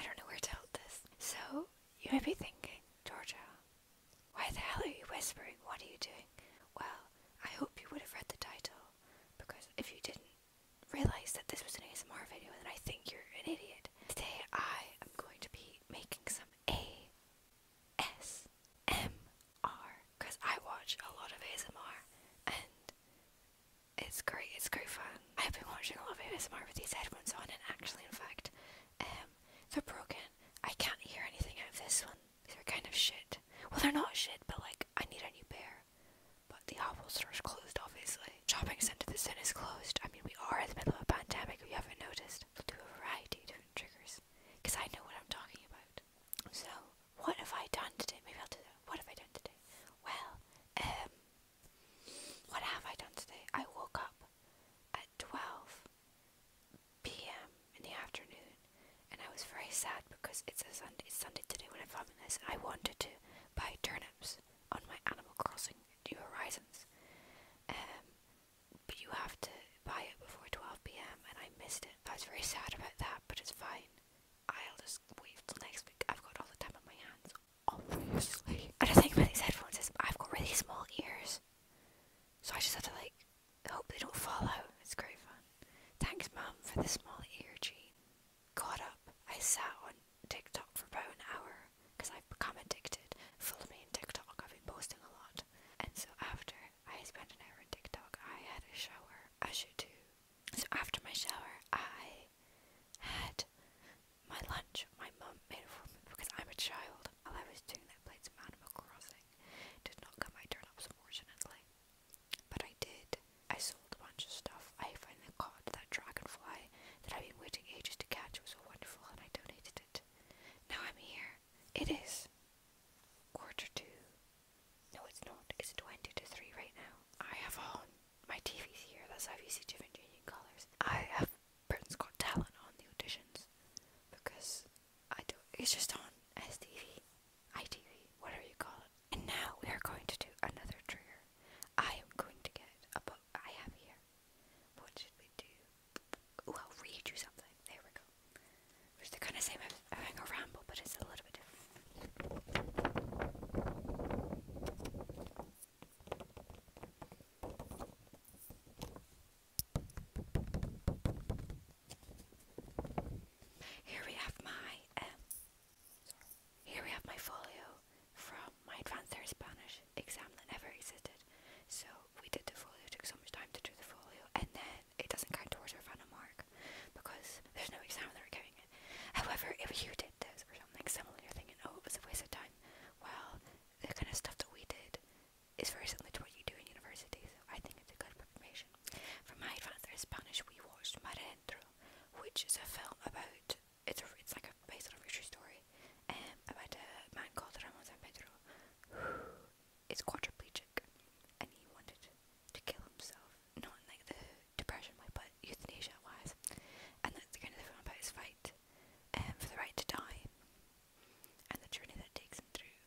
I don't know where to hold this. So, you may be thinking, Georgia, why the hell are you whispering? What are you doing? Well, I hope you would have read the title, because if you didn't realize that this was an ASMR video, then I think you're an idiot. Today, I am going to be making some ASMR, because I watch a lot of ASMR, and it's great, it's great fun. I've been watching a lot of ASMR with these headphones on and actually in fact, um, they're broken. I can't hear anything out of this one. They're kind of shit. Well, they're not shit, but like, I need a new pair. But the Apple store's closed, obviously. Shopping centre the sun is closed. I mean, we are in the middle of a pandemic, if you haven't noticed. do a variety of different triggers. Because I know what I'm talking about. So, what have I done today? Maybe I'll do What have I done today? Well, um, what have I done today? I woke up at 12 p.m. in the afternoon and I was very sad because it's a Sunday, it's Sunday today when i found this I wanted to buy turnips on my Animal Crossing New Horizons. Um, but you have to buy it before 12 pm and I missed it. I was very sad about that, but it's fine. I'll just wait till next week. I've got all the time on my hands obviously. And the thing about these headphones I've got really small ears. So I just have to like hope they don't fall out. It's great fun. Thanks mum for the small ear gene. Caught up. I sat on TikTok for about an hour because I've become addicted. Follow me on TikTok. I've been posting a lot. And so after I spent an hour on TikTok, I had a shower. As you do so after my shower, I had my lunch. My mum made it for me because I'm a child. While I was doing that, plates played some Animal Crossing. Did not get my turn unfortunately. But I did. I sold a bunch of stuff. I finally caught that dragonfly that I've been waiting ages to catch. It was so wonderful, and I donated it. Now I'm here. It is quarter to. No, it's not. It's 20 to 3 right now. I have a home. My TV's here, that's why you see different changing colours. I have Britain's on the auditions because I do it's just on STV, ITV, whatever you call And now we are going to do another trigger. I am going to get a book I have here. What should we do? Ooh, I'll read you something. There we go. Which they kind of same having a ramble, but it's a little bit different. Here we have my um, here we have my folio from my advanced Spanish exam that never existed. So we did the folio, took so much time to do the folio, and then it doesn't count towards our final mark because there's no examiner going it. However, if you did this or something similar, you're thinking, oh, it was a waste of time. Well, the kind of stuff that we did is very similar to what you do in university, so I think it's a good preparation. For my advanced in Spanish, we watched Marentro, which is a film about, it's, a, it's like a, based on a true story, and um, about a man called Ramon San Pedro who is quadriplegic and he wanted to kill himself, not like the depression, my euthanasia wise. And that's kind of the vampire's fight um, for the right to die and the journey that takes him through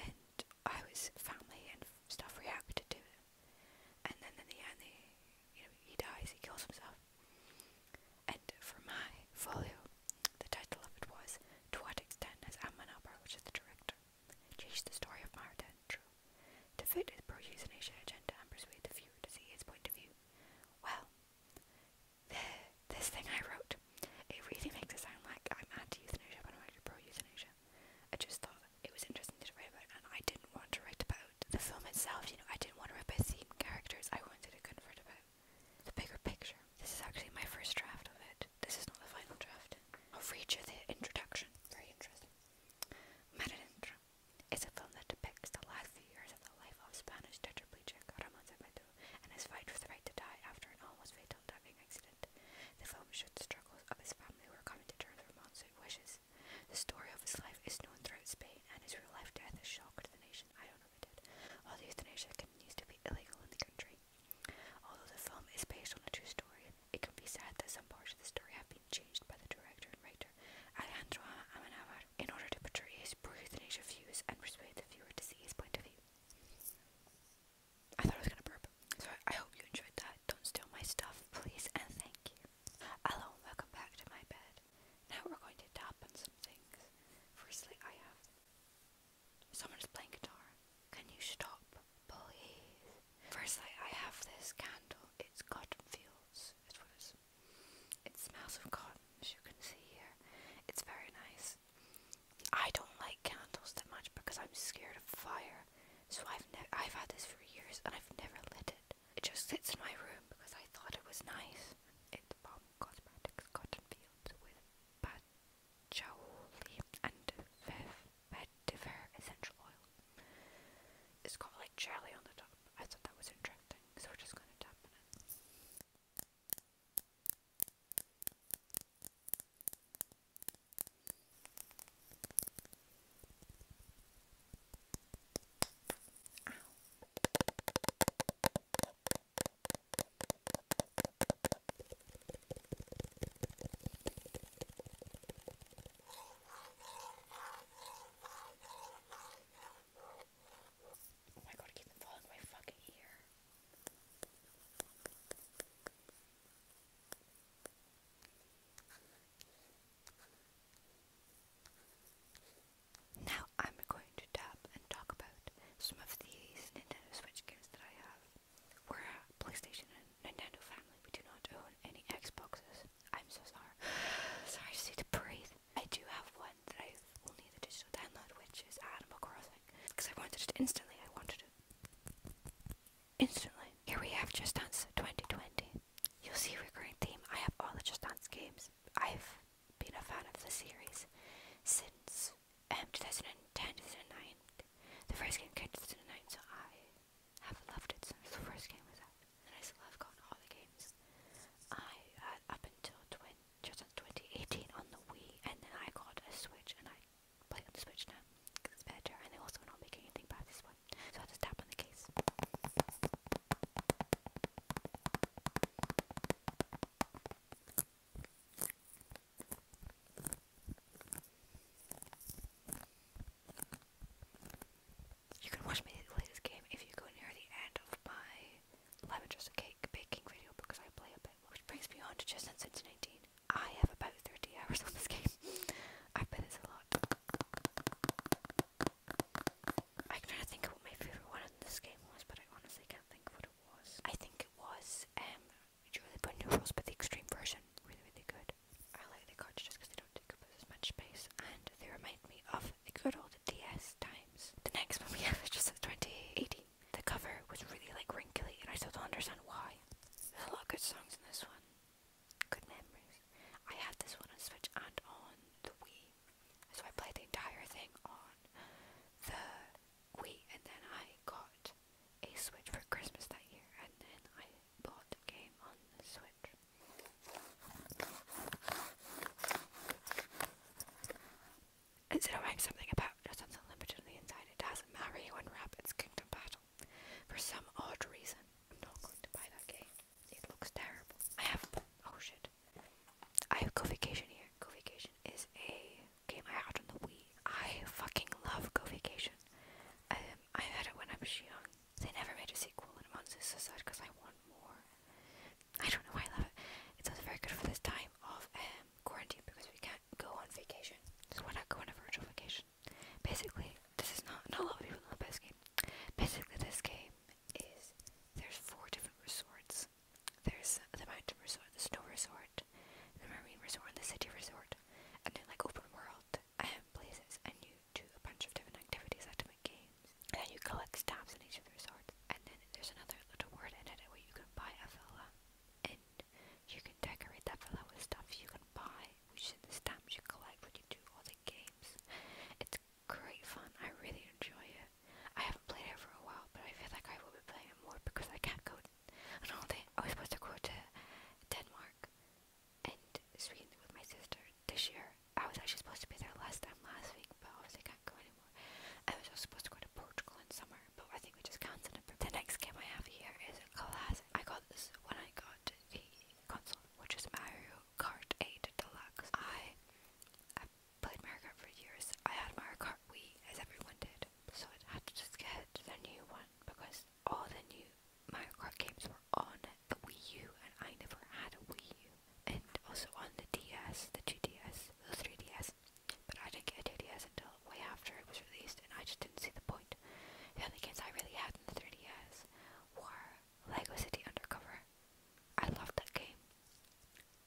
and how his family and stuff reacted to it. And then in the end, they, you know, he dies, he kills himself. And for my folio, the title of it was To What Extent Has Amman Upper, which is the director, Chase the story of Mara to fit his pro-euthanasia agenda and persuade the viewer to see his point of view. Well, this thing I wrote, it really makes it sound like I'm anti-euthanasia but I'm actually pro-euthanasia. I just thought it was interesting to write about and I didn't want to write about the film itself, you know, I didn't want to write about theme characters, I wanted to convert about the bigger picture. This is actually my first draft of it. This is not the final draft. I'll read you the introduction. Very interesting. Maradentra is a film that depicts the last few years of the life of Spanish tetraplegic Ramon Zepeda and his fight for the right to die after an almost fatal diving accident. The film shows the struggles of his family who are coming to terms with Ramon's wishes. The story of his life is known throughout Spain, and his real life death is the nation. I don't know if it did. Although euthanasia continues to be illegal in the country. Although the film is based on a true story, it can be said that some parts of the story have been changed by the director and writer Alejandro Amenábar in order to portray his pro-euthanasia views and persuade the viewer to see his point of view. I thought I was gonna burp, so I hope you enjoyed that. Don't steal my stuff, please, and thank you. Hello, welcome back to my bed. Now we're going to tap some things. Firstly, I have someone's playing guitar. Can you stop? please. I have this candle. It's cotton fields. It was. It smells of cotton, as you can see here. It's very nice. I don't like candles that much because I'm scared of fire. So I've ne- I've had this for years and I've never lit it. It just sits in my room because I thought it was nice. It's Bomb um, Cosmetics Cotton Fields with Jowli and vetiver essential oil. It's got like jelly on the top. I thought that was interesting, so we're just gonna tap it. Oh my god, keep it falling my fucking ear. Now I'm going to tap and talk about some of these Nintendo Switch games that I have. We're a PlayStation and Nintendo family. We do not own any Xboxes. I'm so sorry. sorry, just need to breathe. I do have one that I only the digital download, which is Animal Crossing, because I wanted it instantly. I wanted it instantly. Here we have Just Dance 2020. You'll see a recurring theme. I have all the Just Dance games. I've been a fan of the series since um, 2010, The first game came 2009, so I have loved it since the first game was out. And I still have gotten all the games. I had up until 20, 2018 on the Wii, and then I got a Switch, and I play on the Switch now because it's better, and they're also not making anything bad this one. So i just tap on the case. You can watch me play this game if you go near the end of my lemon cake baking video because I play a bit, which brings me on to just since it's I have about 30 hours on this game. I play this a lot. I'm trying to think of what my favorite one in this game was, but I honestly can't think of what it was. I think it was um which are really good but the extreme version, really, really good. I like the cards just because they don't take up as much space, and they remind me of the good old DS times. The next one we have is just 2018. The cover was really like wrinkly, and I still don't understand why. There's a lot of good songs in this one. Good memories. I had this one on Switch and on the Wii, so I play the entire thing on the we and then I got a Switch for Christmas that year, and then I bought the game on the Switch. Instead of writing something about just unlimited on the inside, it doesn't matter you unwrap its Kingdom Battle. For some odd reason, I'm not going to buy that game. It looks terrible. I have oh shit. I have Go Vacation here. Go Vacation is a came out on the Wii. I fucking love Go Vacation. Um, I had it when I was young. They never made a sequel in Monster sad because I want more. I don't know why I love it. It's also very good for this time of um, quarantine because we can't go on vacation. We're not going on virtual vacation? Basically, this is not, not a lot of people know about this game. Basically, this game is there's four different resorts there's the mountain resort, the snow resort, the marine resort, and the city resort. And then like open world um, places and you do a bunch of different activities like different games. And then you collect stamps in each of the resorts. And then there's another little word in it where you can buy a villa and you can decorate that villa with stuff you can buy, which is the stamps you collect when you do all the games. It's great fun. I really enjoy it it. I haven't played it for a while, but I feel like I will be playing it more because I can't go on holiday. I was supposed to go to Denmark and Sweden with my sister this year. I was actually supposed to be there last time last week, but obviously can't go anymore. I was also supposed to go to Portugal in summer, but I think we just cancelled it. The next game I have here is a Classic. I got this when I got the console, which is Mario Kart 8 Deluxe. I played Mario Kart for years. I had Mario Kart Wii, as everyone did, so I had to just get the new one because all the new Mario Kart games were on the Wii U, and I never had a Wii U, and also on the DS, the 2DS, the 3DS. But I didn't get a 2DS until way after it was released, and I just didn't see the point. The only games I really had in the 3DS were Lego City Undercover. I loved that game.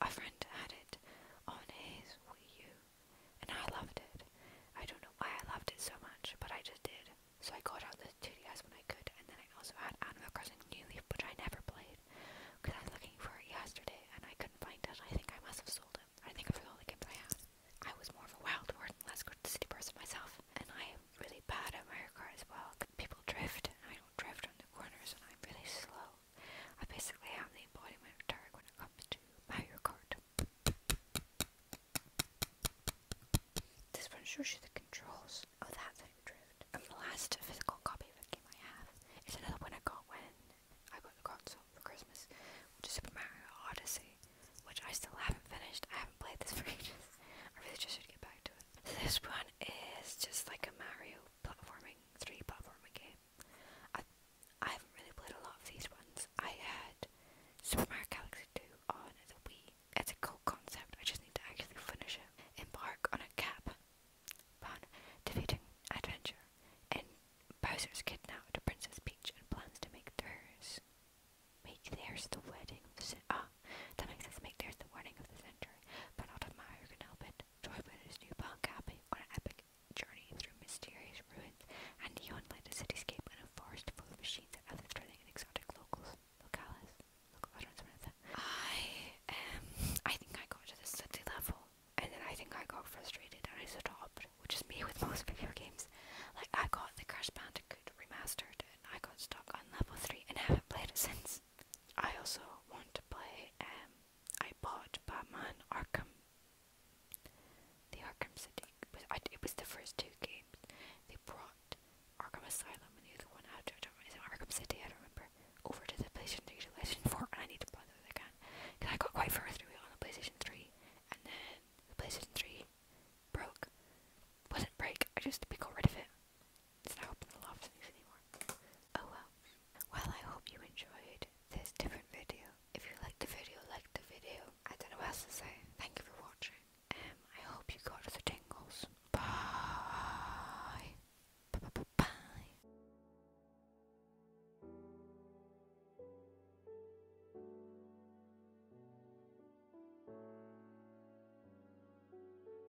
A friend had it on his Wii U, and I loved it. I don't know why I loved it so much, but I just did. So I got out the 2DS when I could, and then I also had Animal Crossing New Leaf, which I never played, because I was looking for it yesterday, and I couldn't find it. I think I must have sold it. I think it was all the games I had. I was more of a wild word and less good city person myself, and I am really bad at Mario Kart as well. People drift, and I don't drift on the corners, and I'm really slow. I basically am the embodiment of Tarek when it comes to Mario Kart. This one shows you the controls of oh, that type of drift. And the last physical copy of the game I have is another one I got when I got the console for Christmas, which is Super Mario Odyssey, which I still haven't finished. I haven't played this for ages. I really just should get back to it. this one is just like a Mario platforming 3 platforming game. I, haven't really played a lot of these ones. I had Super Mario Galaxy 2 on the Wii. It's a cool concept, I just need to actually finish it. Embark on a cap fun, defeating adventure, and Bowser's kidnapped Princess Peach and plans to make theirs make theirs the wedding of the century. Ah, that makes sense. Make theirs the wedding of the century, but not if Mario can help it. Joy new punk camping on an epic journey through mysterious ruins and neon lighted cityscape and a forest full of machines and other thrilling and exotic locals. I do I think I got to the study level and then I think I got frustrated and I stopped, which is me with most video games. Like I got the Crash Bandicoot remastered and I got stuck on level three and haven't played it since. I also want to play, um, I bought Batman Arkham, the Arkham City, it was the first two games, they brought Arkham Asylum and the other one after, I don't remember, Arkham City, I don't remember, over to the PlayStation 3 to PlayStation 4, and I need to play those again, because I got quite far through it on the PlayStation 3, and then the PlayStation 3 broke, wasn't break, I just got rid of it, it's not open the loft news anymore. Oh well. Well, I hope you enjoyed this different video. If you liked the video, like the video. I don't know what else to say. Thank you for watching. Um, I hope you got the tingles. Bye. Bye. Bye. -bye.